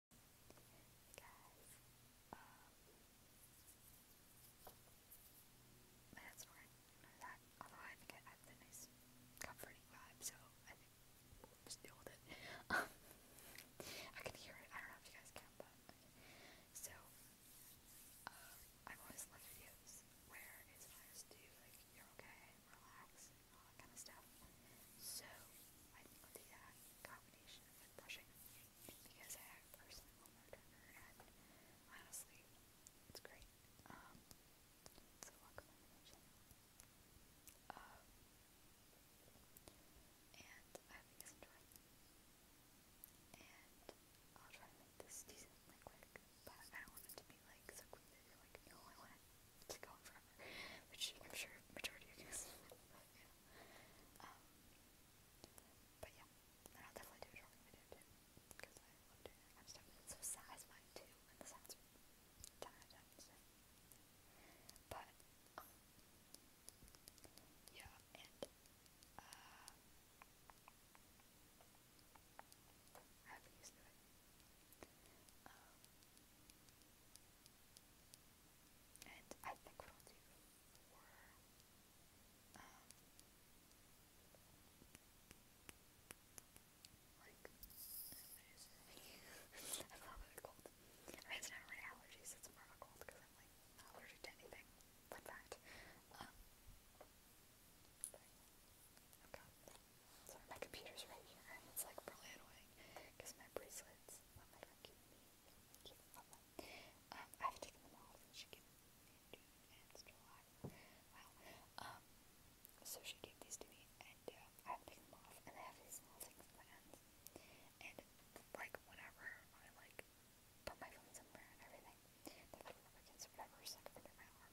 Hey guys, you um, that, although I think it adds a nice comforting vibe, so I think just deal it. Um, I can hear it, I don't know if you guys can, but, so, um, I've always loved videos where it's nice to, like, you're okay, relax, all that kind of stuff. So I think i combination with brushing because I have personal murderer and honestly, it's great. so welcome to and I hope you guys enjoy. And I'll try to make this decently quick, but I don't want it to be like so quick that you're like, no, I want it to go forever, which I'm sure majority of you guys um, but yeah. Um, I'll definitely do a short video too, because I love doing that kind of stuff. It's so satisfying too, and the sounds are ten But, um, yeah, and, uh, and I think we do four. Um, like, it's not really allergies, it's more of a cold because I'm like allergic to anything. Fun fact. Um, okay. Sorry, my computer's right here, and it's like really annoying because my bracelets on my freaking me. Um, I haven't taken them all since she gave them um, so she gave these to me, and uh, I haven't taken them off, and I have these little things in my hands. And like whenever I like put my phone somewhere and everything, they put rubber or whatever, it's like under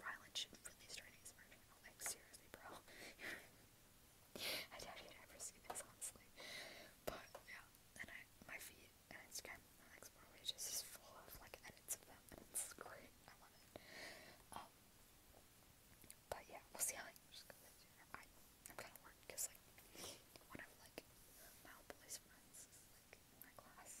Rylan should really start his Like, seriously, bro. I doubt he'd ever see this, honestly. But, yeah. And I, my feed and Instagram my Explore page is just full of, like, edits of them. And it's great. I love it. Um, but, yeah. We'll see like, I, am kind of worried because, like, one like, my friends is, like, in my class.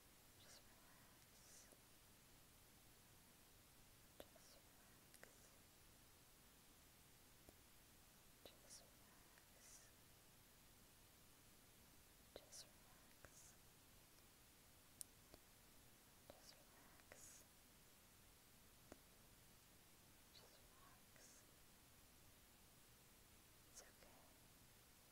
Just relax. Just relax. Just relax. Just relax. Just relax. Just relax. It's okay. It's okay.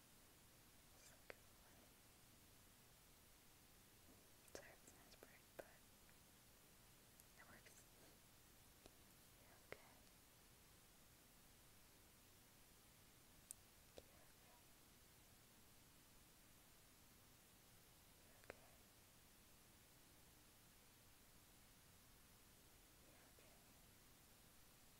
Sorry if it's not bright, but it works. You're okay. You're okay. You're okay. You're okay. You're okay. You're okay.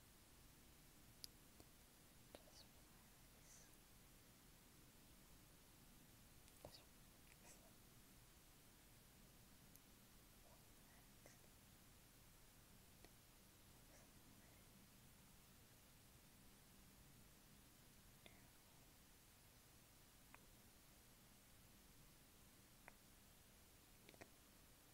Just relax. Just relax. Relax. Excellent.